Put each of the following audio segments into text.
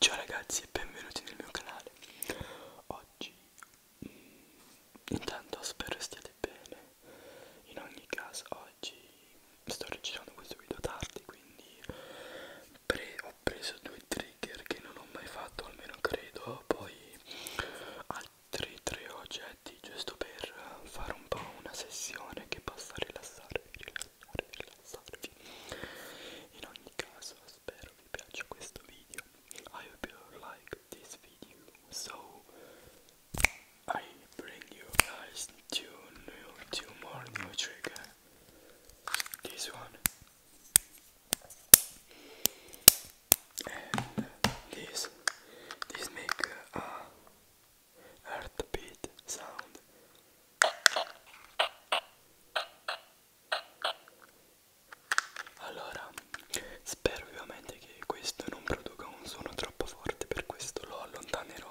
Ciao ragazzi e benvenuti nel mio canale Oggi mm, Intanto spero stiate bene In ogni caso oggi Sto registrando questo video tardi Quindi pre Ho preso due trigger che non ho mai fatto Almeno credo Poi altri tre oggetti effetti giusto per fare un po' una sessione che possa rilassarvi, rilassarvi, rilassarvi in ogni caso spero vi piaccia questo video I hope you like this video so I bring you guys two new, two more new trigger this one and this this make a heartbeat sound allora spero ovviamente che questo non produca un suono troppo forte per questo lo allontanerò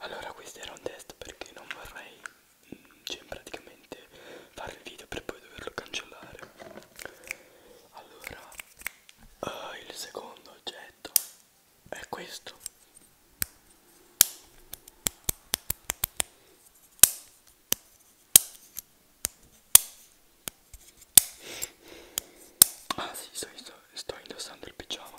Allora questo era un test perché non vorrei mm, cioè praticamente fare il video per poi doverlo cancellare allora uh, il secondo oggetto è questo Ah sì, sto, sto, sto indossando il pigiama.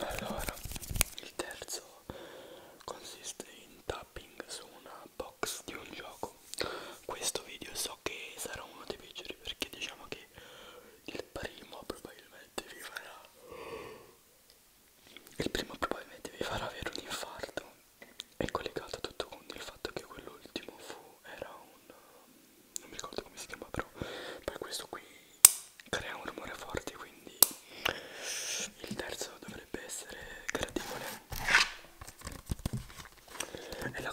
Allora, il terzo consiste in tapping su una box di un gioco questo video so che sarà uno dei peggiori perché diciamo che il primo probabilmente vi farà il primo probabilmente vi farà avere un infarto è collegato tutto con il fatto che quell'ultimo fu era un non mi ricordo come si chiama però poi questo qui crea un rumore forte quindi il terzo dovrebbe essere gradevole e la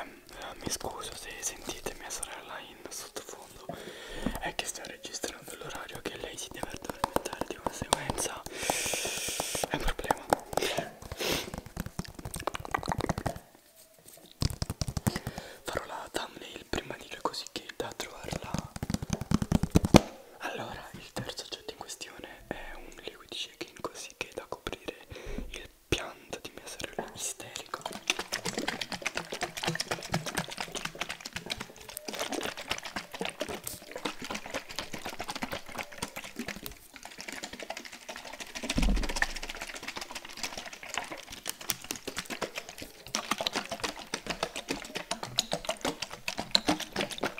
Um, uh, mi scuso se sentite mia sorella in sottofondo, è che sto registrando l'orario che lei si deve addormentare di conseguenza è un problema. Farò la thumbnail prima di lui così che da trovarla. Allora, il terzo l'oggetto in questione è un liquid shaking così che è da coprire il pianto di mia sorella isterico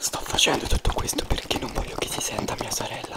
Sto facendo tutto questo perché non voglio che si senta mia sorella.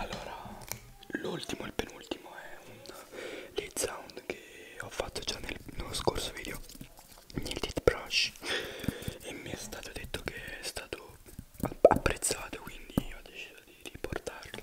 Allora, l'ultimo, il penultimo è un lead sound che ho fatto già nel, nello scorso video, nel dead brush, e mi è stato detto che è stato apprezzato, quindi ho deciso di riportarlo.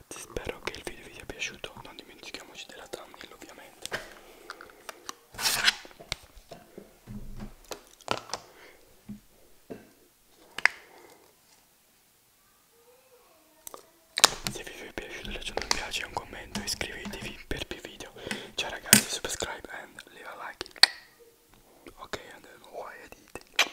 ragazzi spero che il video vi sia piaciuto non dimentichiamoci della thumbnail ovviamente se vi è piaciuto lasciate un piace un commento iscrivetevi per più video ciao ragazzi subscribe and leave a like ok and why I did it